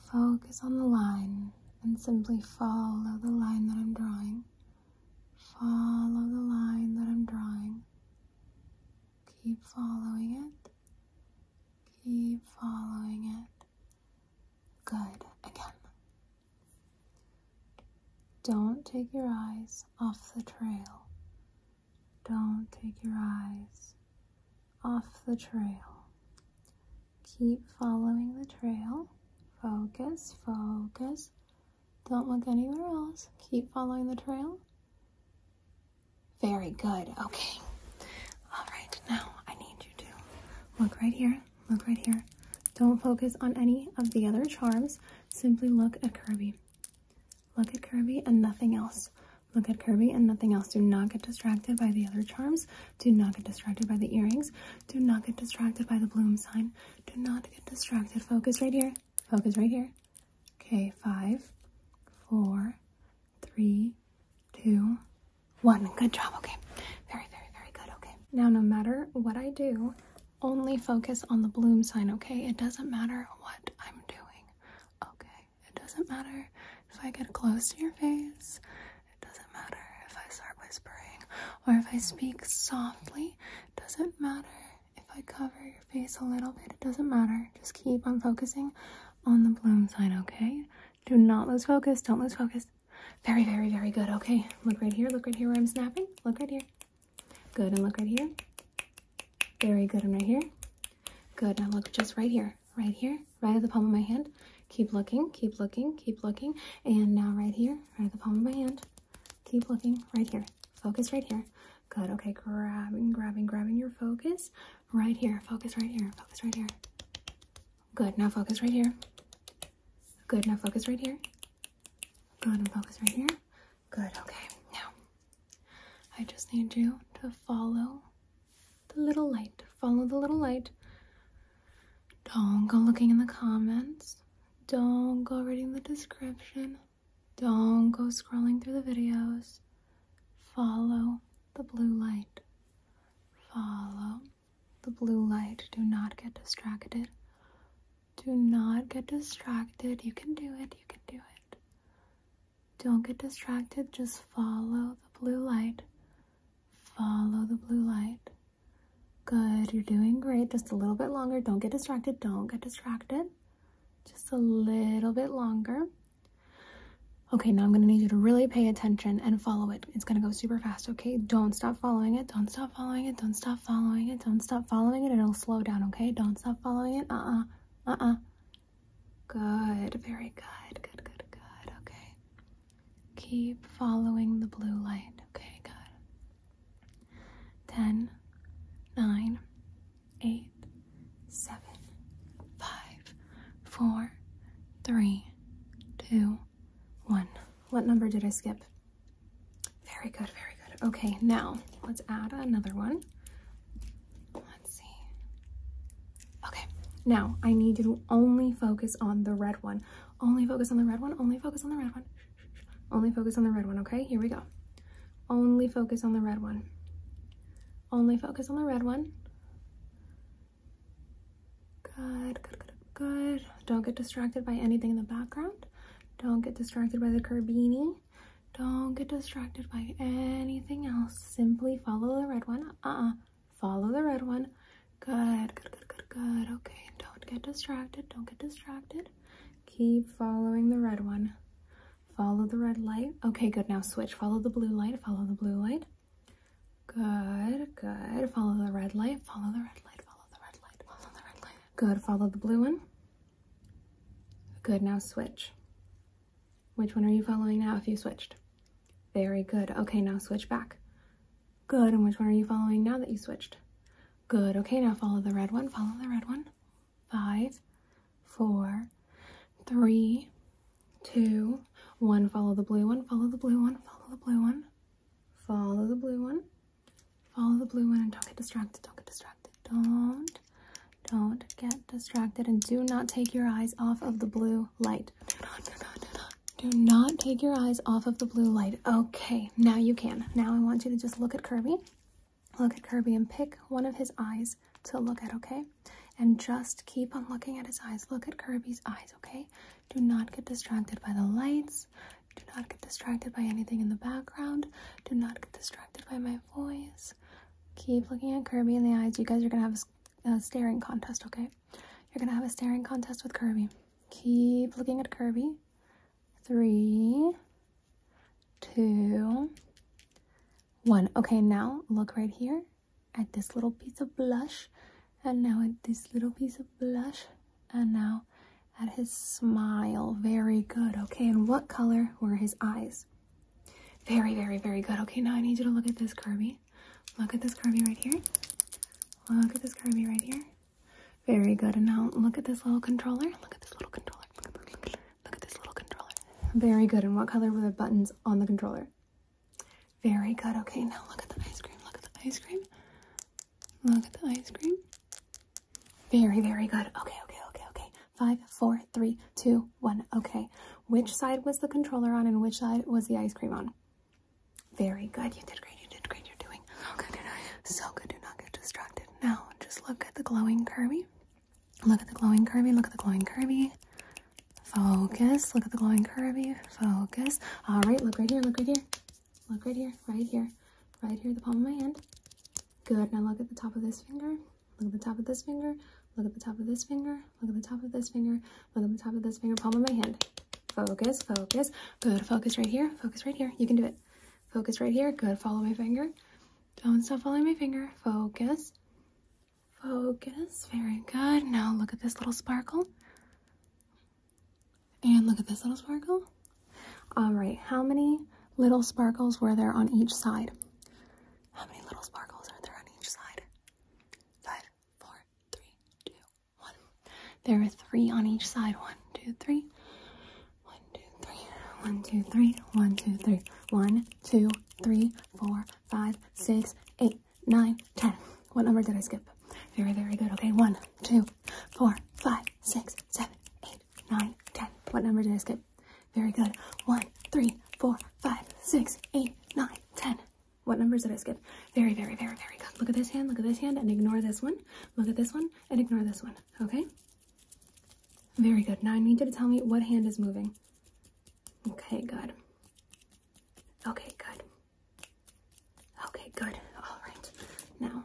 Focus on the line and simply follow the line that I'm drawing. Follow the line that I'm drawing. Keep following it. Keep following it. Good. Again. Don't take your eyes off the trail. Don't take your eyes off the trail. Keep following the trail. Focus, focus. Don't look anywhere else. Keep following the trail. Very good. Okay. All right. Now I need you to look right here. Look right here. Don't focus on any of the other charms. Simply look at Kirby. Look at Kirby and nothing else. Look at Kirby and nothing else. Do not get distracted by the other charms. Do not get distracted by the earrings. Do not get distracted by the bloom sign. Do not get distracted. Focus right here. Focus right here. Okay, five, four, three, two, one. Good job. Okay. Very, very, very good. Okay. Now, no matter what I do, only focus on the bloom sign, okay? It doesn't matter what I'm doing. Okay. It doesn't matter if I get close to your face. It doesn't matter if I start whispering or if I speak softly. It doesn't matter if I cover your face a little bit. It doesn't matter. Just keep on focusing on the bloom sign, okay? Do not lose focus. Don't lose focus. Very, very, very good. Okay, look right here. Look right here where I'm snapping. Look right here. Good, and look right here. Very good, and right here. Good. Now look just right here, right here, right at the palm of my hand. Keep looking, keep looking, keep looking. And now right here, right at the palm of my hand. Keep looking right here. Focus right here. Good. Okay. Grabbing, grabbing, grabbing your focus right here. Focus right here. Focus right here. Good. Now focus right here. Good. Now focus right here. Good. And focus right here. Good. Okay. Now, I just need you to follow the little light. Follow the little light. Don't go looking in the comments. Don't go reading the description. Don't go scrolling through the videos. Follow the blue light. Follow the blue light. Do not get distracted. Do not get distracted. You can do it. You can do it. Don't get distracted, just follow the blue light. Follow the blue light. Good, you're doing great. Just a little bit longer. Don't get distracted, don't get distracted. Just a little bit longer. Okay, now I'm gonna need you to really pay attention and follow it. It's gonna go super fast, okay? Don't stop following it, don't stop following it, don't stop following it, don't stop following it, it'll slow down, okay? Don't stop following it, uh-uh, uh-uh. Good, very good, good, good, good. Okay. Keep following the blue light. Okay, good. Ten, nine, eight, seven, five, four, three, two, one. What number did I skip? Very good, very good. Okay, now let's add another one see. Okay, now I need you to only focus on the red one. Only focus on the red one. Only focus on the red one. Only focus on the red one, okay? Here we go. Only focus on the red one. Only focus on the red one. Good, good, good, Don't get distracted by anything in the background. Don't get distracted by the Carbini. Don't get distracted by anything else. Simply follow the red one. uh Follow the red one. Good, good, good, good, good. Okay, don't get distracted. Don't get distracted. Keep following the red one. Follow the red light. Okay, good. Now switch. Follow the blue light. Follow the blue light. Good, good. Follow the red light. Follow the red light. Follow the red light. Follow the red light. Good. Follow the blue one. Good. Now switch. Which one are you following now if you switched? Very good. Okay, now switch back. Good, and which one are you following now that you switched? Good, okay, now follow the red one, follow the red one. Five, four, three, two, one. Follow the blue one, follow the blue one, follow the blue one, follow the blue one, follow the blue one, and don't get distracted, don't get distracted, don't don't, get distracted and do not take your eyes off of the blue light. Do not, do not, do not. Do not take your eyes off of the blue light. Okay, now you can. Now I want you to just look at Kirby. Look at Kirby and pick one of his eyes to look at, okay? And just keep on looking at his eyes. Look at Kirby's eyes, okay? Do not get distracted by the lights. Do not get distracted by anything in the background. Do not get distracted by my voice keep looking at Kirby in the eyes. You guys are gonna have a, staring contest, okay? You're gonna have a staring contest with Kirby. Keep looking at Kirby. Three, two, one. Okay, now look right here at this little piece of blush, and now at this little piece of blush, and now at his smile. Very good. Okay, and what color were his eyes? Very, very, very good. Okay, now I need you to look at this Kirby. Look at this Kirby right here. Look at this Kirby right here. Very good. And now look at this little controller. Look at this little controller. Look at this little controller. Very good. And what color were the buttons on the controller? Very good. Okay, now look at the ice cream. Look at the ice cream. Look at the ice cream. Very, very good. Okay, okay, okay, okay. Five, four, three, two, one. Okay. Which side was the controller on and which side was the ice cream on? Very good. You did great. You did great. You're doing okay. so good. Do not get distracted. Now, just look at the glowing Kirby. Look at the glowing Kirby. Look at the glowing Kirby. Focus. Look at the glowing Kirby. Focus. All right. Look right here. Look right here. Look right here. Right here. Right here. The palm of my hand. Good. Now look at the top of this finger. Look at the top of this finger. Look at the top of this finger. Look at the top of this finger. Look at the top of this finger. Palm of my hand. Focus, focus. Good. Focus right here. Focus right here. You can do it. Focus right here. Good. Follow my finger. Don't stop following my finger. Focus. Focus. Very good. Now look at this little sparkle. And look at this little sparkle. All right. How many little sparkles were there on each side? How many little sparkles are there on each side? Five, four, three, two, one. There are three on each side. One, two, three. One, two, three. One, two, three. One, two, three. One, two, three, four, five, six, eight, nine, ten. What number did I skip? Very, very good. Okay, one, two, four, five, six, seven, eight nine, ten. What number did I skip? Very good. One, three, four, five, six, eight, nine, ten. What number did I skip? Very, very, very, very good. Look at this hand, look at this hand, and ignore this one. Look at this one, and ignore this one, okay? Very good. Now I need you to tell me what hand is moving. Okay, good. Okay, good. Okay, good. All right. Now,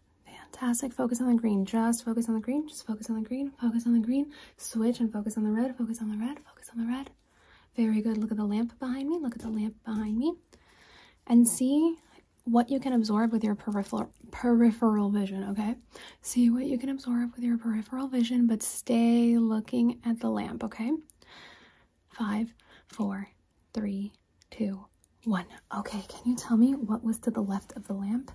Fantastic. Focus on the green. Just focus on the green. Just focus on the green. Focus on the green. Switch and focus on the red. Focus on the red. Focus on the red. Very good. Look at the lamp behind me. Look at the lamp behind me. And see what you can absorb with your peripheral peripheral vision, okay? See what you can absorb with your peripheral vision, but stay looking at the lamp, okay? Five, four, three, Two, one. Okay, can you tell me what was to the left of the lamp?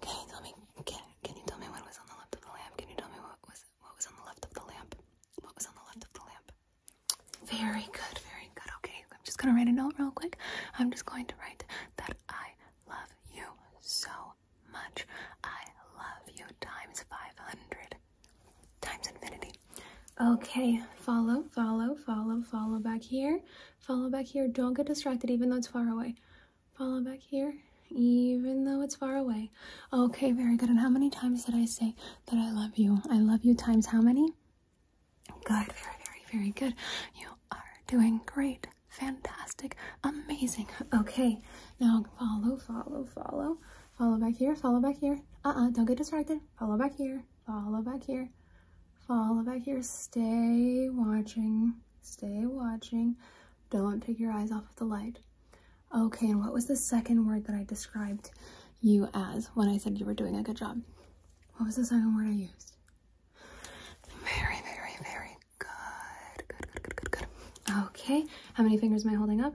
Can tell me? Can, can you tell me what was on the left of the lamp? Can you tell me what was what was on the left of the lamp? What was on the left of the lamp? Very good, very good. Okay, I'm just gonna write a note real quick. I'm just going to write that I love you so much. I love you times 500 times infinity. Okay, follow, follow, follow, follow back here. Follow back here. Don't get distracted even though it's far away. Follow back here even though it's far away. Okay, very good. And how many times did I say that I love you? I love you times how many? Good, very, very, very good. You are doing great, fantastic, amazing. Okay, now follow, follow, follow. Follow back here, follow back here. Uh-uh, don't get distracted. Follow back here follow back here, follow back here, stay watching, stay watching. Don't take your eyes off of the light. Okay, and what was the second word that I described you as when I said you were doing a good job? What was the second word I used? Very, very, very good. Good, good, good, good, good. Okay, how many fingers am I holding up?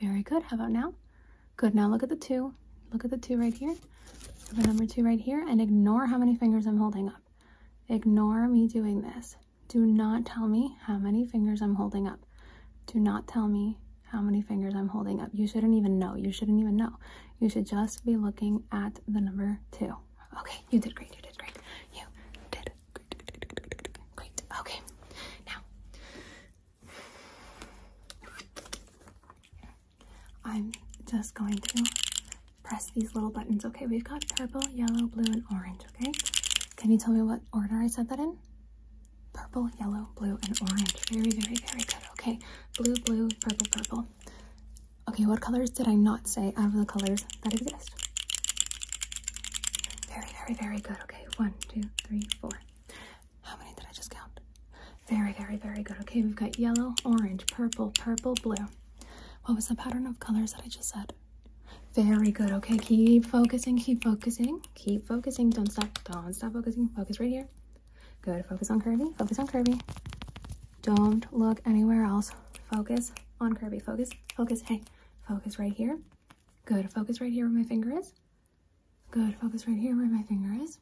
Very good. How about now? Good. Now look at the two. Look at the two right here. Look number two right here and ignore how many fingers I'm holding up. Ignore me doing this. Do not tell me how many fingers I'm holding up. Do not tell me how many fingers I'm holding up. You shouldn't even know. You shouldn't even know. You should just be looking at the number two. Okay, you did great. You did great. You did Great. Okay. Now, I'm just going to press these little buttons. Okay, we've got purple, yellow, blue, and orange. Okay. Can you tell me what order I said that in? Purple, yellow, blue, and orange. Very, very, very good. Okay. Blue, blue, purple, purple. Okay, what colors did I not say out of the colors that exist? Very, very, very good. Okay, one, two, three, four. How many did I just count? Very, very, very good. Okay, we've got yellow, orange, purple, purple, blue. What was the pattern of colors that I just said? Very good. Okay, keep focusing, keep focusing, keep focusing. Don't stop, don't stop focusing. Focus right here. Good. Focus on curvy, focus on curvy. Don't look anywhere else. Focus on curvy. Focus, focus. Hey, focus right here. Good. Focus right here where my finger is. Good. Focus right here where my finger is.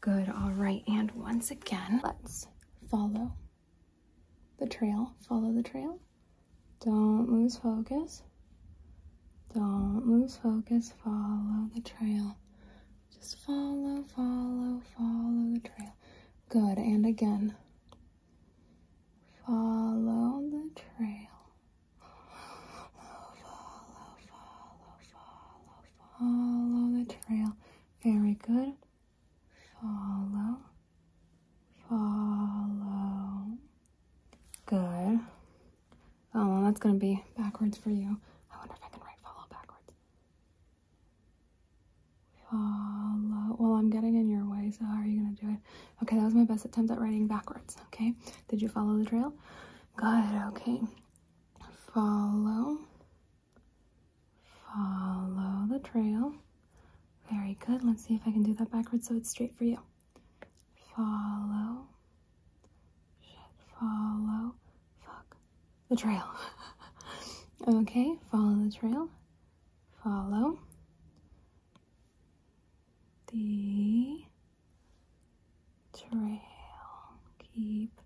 Good. All right. And once again, let's follow the trail. Follow the trail. Don't lose focus. Don't lose focus. Follow the trail. Just follow, follow, follow the trail. Good. And again. Follow the trail. Follow, follow, follow, follow the trail. Very good. Follow. Follow. Good. Oh, that's going to be backwards for you. I wonder if I can write follow backwards. Follow. Well, I'm getting in your way, so how are you going to do it? Okay, that was my best attempt at writing backwards. Okay, did you follow the trail? Good, okay. Follow, follow the trail. Very good. Let's see if I can do that backwards so it's straight for you. Follow, shit, follow, fuck, the trail. okay, follow the trail. Follow, the trail. Keep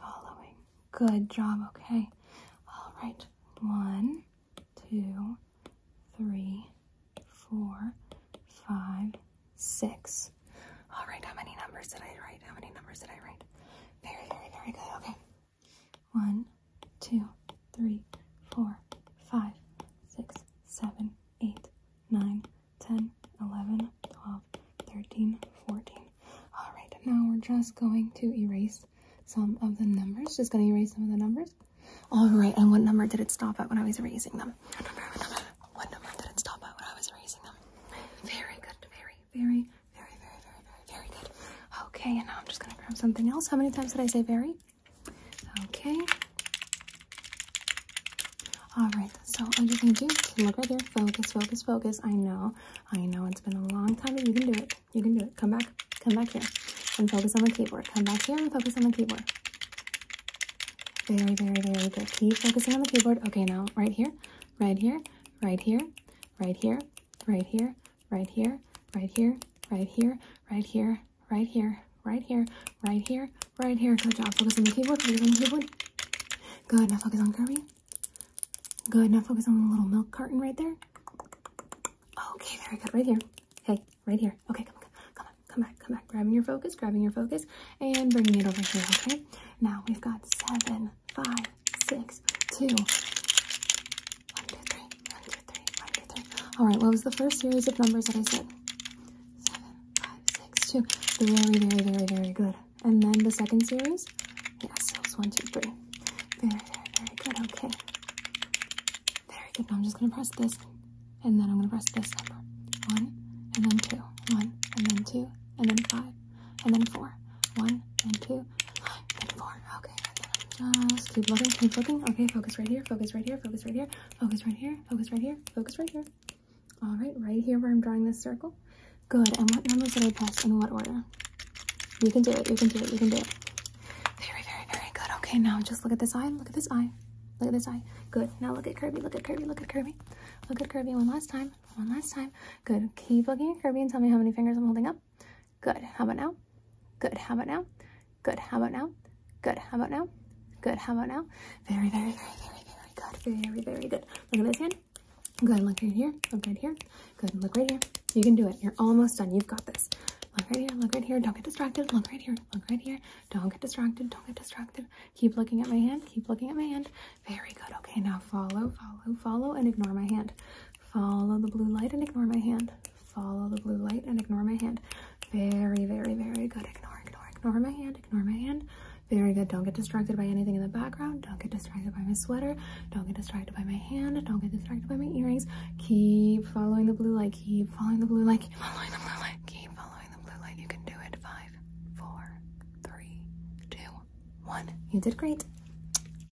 following. Good job, okay? All right, one, two, three, four, five, six. All right, how many numbers did I write? How many numbers did I write? Very, very, very good, okay. One, two, three, four, five, six, seven, eight, nine, ten, eleven, twelve, thirteen, fourteen. All right, now we're just going to erase some of the numbers. Just going to erase some of the numbers. All right, and what number did it stop at when I was erasing them? What number, what number, what number did it stop at when I was erasing them? Very good, very, very, very, very, very, very, very good. Okay, and now I'm just going to grab something else. How many times did I say very? Okay. All right, so all you can do is look right there. Focus, focus, focus. I know, I know it's been a long time, but you can do it. You can do it. Come back, come back here and focus on the keyboard. Come back here and focus on the keyboard. Very, very, very good. Keep focusing on the keyboard. Okay, now right here, right here, right here, right here, right here, right here, right here, right here, right here, right here, right here, right here, right here. Good job. Focus on the keyboard. Focus on the keyboard. Good. Now focus on Kirby. Good. Now focus on the little milk carton right there. Okay, very good. Right here. Hey, right here. Okay, come on, come on, come back, come back. Grabbing your focus, grabbing your focus, and bringing it over here, okay? Now we've got seven, five, six, two, one, two, three, one, two, all right, what was the first series of numbers that I said? Seven, five, six, two. Very, very, very, very good. And then the second series? Yes, it was one, two, three. Very, very, very good. Okay. Very good. Now I'm just going to press this, and then I'm going to press this number. One, and then two. One, and then two, and then five, and then four. One, and two, five, and four. Okay, just keep looking, keep looking. Okay, focus right here, focus right here, focus right here, focus right here, focus right here, focus right here. All right, right here where I'm drawing this circle. Good, and what numbers did I press in what order? You can do it, you can do it, you can do it. Very, very, very good. Okay, now just look at this eye, look at this eye, look at this eye. Good, now look at Kirby, look at Kirby, look at Kirby. Look at Kirby one last time, one last time. Good, keep looking at Kirby and tell me how many fingers I'm holding up. Good. How about now? Good. How about now? Good. How about now? Good. How about now? Good. How about now? Very, very, very, very, very good. Very, very, good. Look at this hand. Good. Look right here. Look right here. Good. Look right here. You can do it. You're almost done. You've got this. Look right here. Look right here. Don't get distracted. Look right here. Look right here. Don't get distracted. Don't get distracted. Keep looking at my hand. Keep looking at my hand. Very good. Okay. Now follow, follow, follow, and ignore my hand. Follow the blue light and ignore my hand. Follow the blue light and ignore my hand. Very, very, very good. Ignore, ignore, ignore my hand. Ignore my hand. Very good. Don't get distracted by anything in the background. Don't get distracted by my sweater. Don't get distracted by my hand. Don't get distracted by my earrings. Keep following the blue light. Keep following the blue light. Keep following the blue light. Keep following the blue light. You can do it. Five, four, three, two, one. You did great.